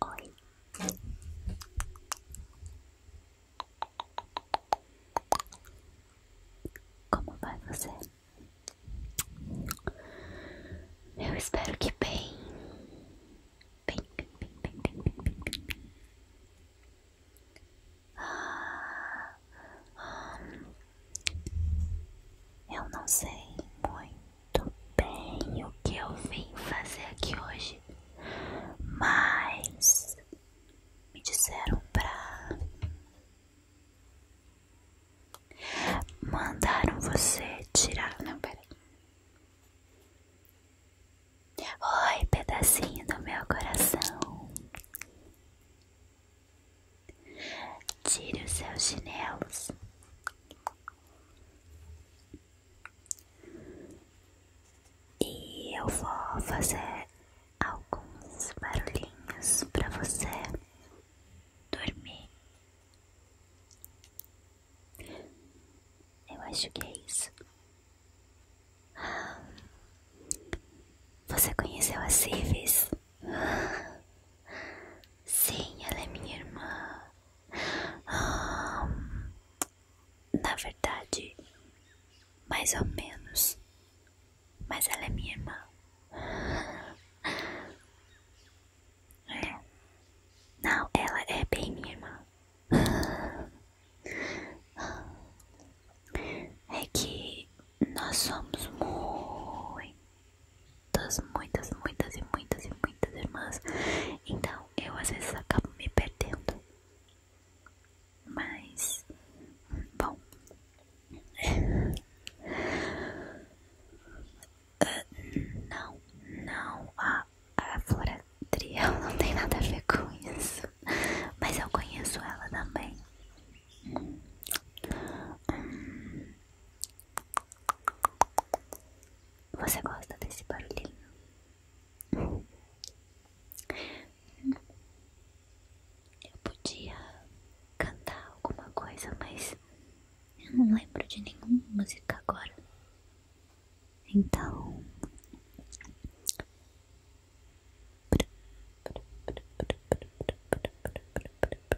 Oi. Como vai você? Eu espero que bem. Bem, bem, bem, bem, bem, bem, bem, bem. Ah, hum. Eu não sei muito muito bem o que eu vim fazer aqui hoje, mas me disseram pra. Mandaram você tirar. Não, pera. Oi, pedacinho do meu coração. Tire os seus chinelos. E eu vou fazer alguns barulhinhos para você dormir. Eu acho que é isso. Você conheceu a Civis? Sim, ela é minha irmã. Na verdade, mais ou menos. Mas ela é minha irmã. Não, ela é bem minha irmã. É que nós somos muito muitas, muitas, muitas e muitas e muitas irmãs. Então eu às vezes acabo me perdendo. Mas, bom. Ah, não, não, a, a Flora Triel não tem nada a ver com isso. Mas eu conheço ela também. Hum, você gosta desse barulhinho? Eu podia cantar alguma coisa, mas eu não lembro de nenhuma música agora. Então.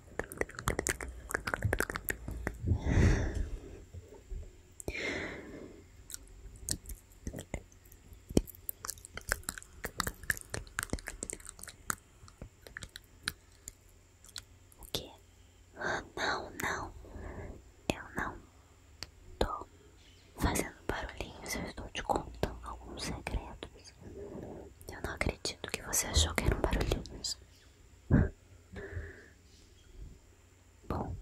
O que? Ah, não, não. Eu não tô fazendo barulhinhos, eu estou te contando alguns segredos. Eu não acredito que você achou que eram barulhinhos. Bom,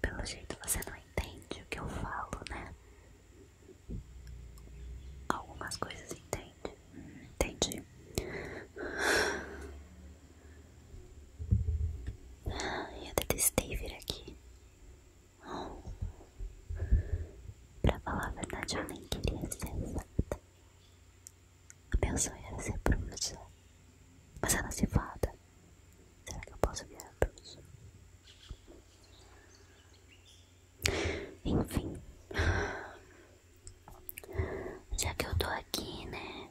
pelo jeito você não entende o que eu falo, né? Algumas coisas entende. Entendi. Ah, eu detestei vir aqui. Pra falar a verdade, eu nem queria ser exata. Meu sonho era ser bruxa. Mas ela se fada. Será que eu posso virar bruxa? Enfim. Já que eu tô aqui, né?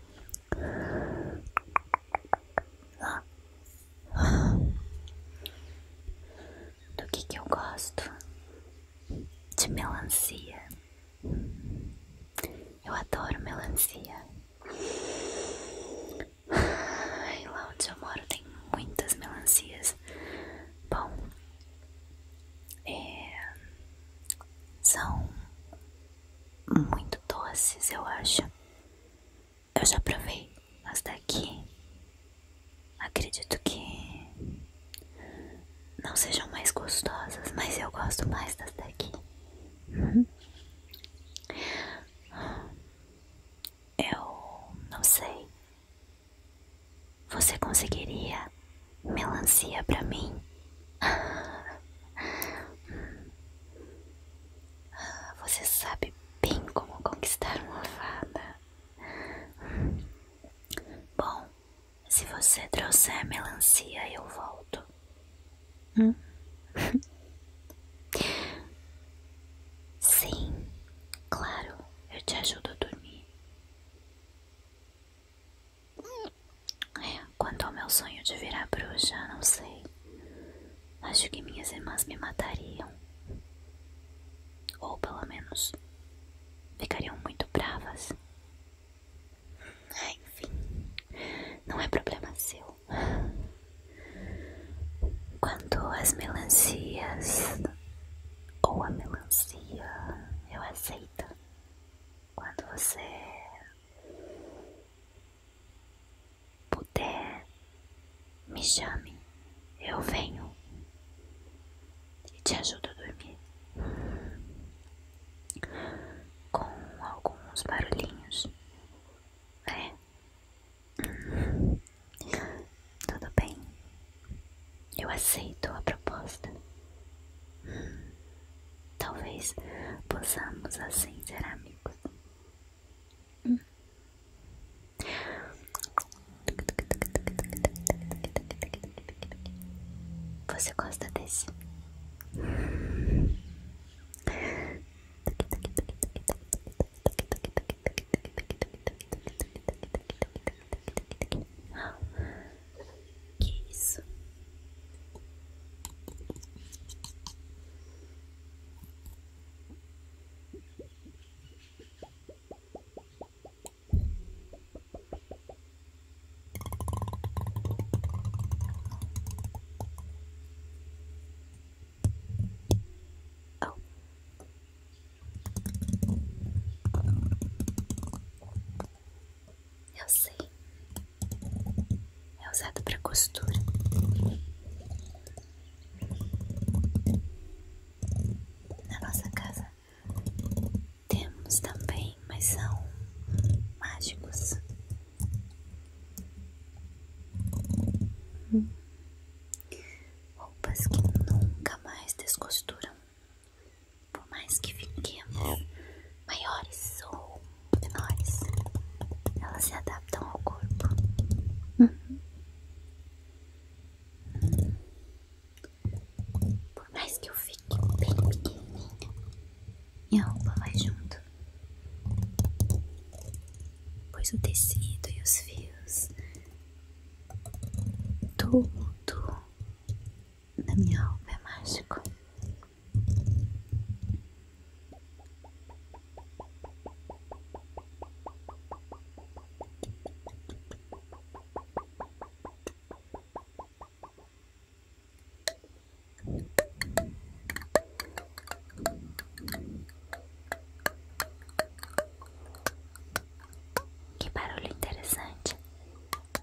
Do que que eu gosto? De melancia. Eu adoro melancia. Ai, lá onde eu moro tem muitas melancias. Bom, é, são muito doces, eu acho. Eu já provei as daqui. Acredito que não sejam mais gostosas, mas eu gosto mais das daqui. Eu não sei. Você conseguiria melancia para mim. Você sabe bem como conquistar uma fada. Bom, se você trouxer melancia, eu volto. Hum? Sim, claro, eu te ajudo a dormir. Quanto ao meu sonho de virar bruxa, não sei. Acho que minhas irmãs me matariam. Ou pelo menos ficariam muito bravas. Enfim, não é problema seu. Quanto às melancias ou a melancia, eu aceito. Quando você puder, me chame, eu venho e te ajudo a dormir com alguns barulhinhos, é. Tudo bem? Eu aceito a proposta. Hum, talvez possamos assim ser amigos. Hum. Você gosta desse? Que isso? Eu sei. É usado para costura. Na nossa casa temos também, mas são mágicos. Roupas que nunca mais descosturam. Por mais que fiquemos maiores ou menores, elas se adaptam ao corpo. Por mais que eu fique bem pequenininha, minha roupa vai junto. Pois o tecido e os fios, tudo da minha roupa é mágico. Que barulho interessante.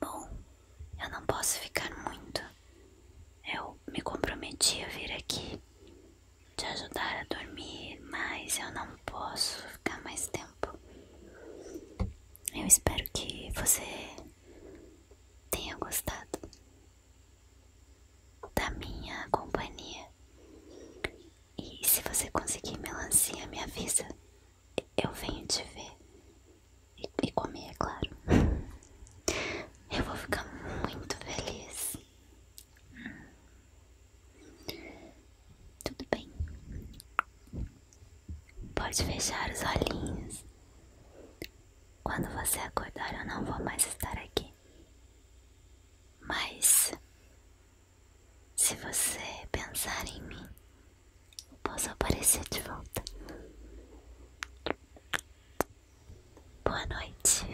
Bom, eu não posso ficar muito. Eu me comprometi a vir aqui te ajudar a dormir, mas eu não posso ficar mais tempo. Eu espero que você tenha gostado da minha companhia. E se você conseguir melancia, me avisa. Eu venho te ver. E, comer, é claro. Eu vou ficar muito feliz. Tudo bem. Pode fechar os olhinhos. Quando você acordar, eu não vou mais estar aqui. Mas se você pensar em mim, eu posso aparecer de volta. Boa noite.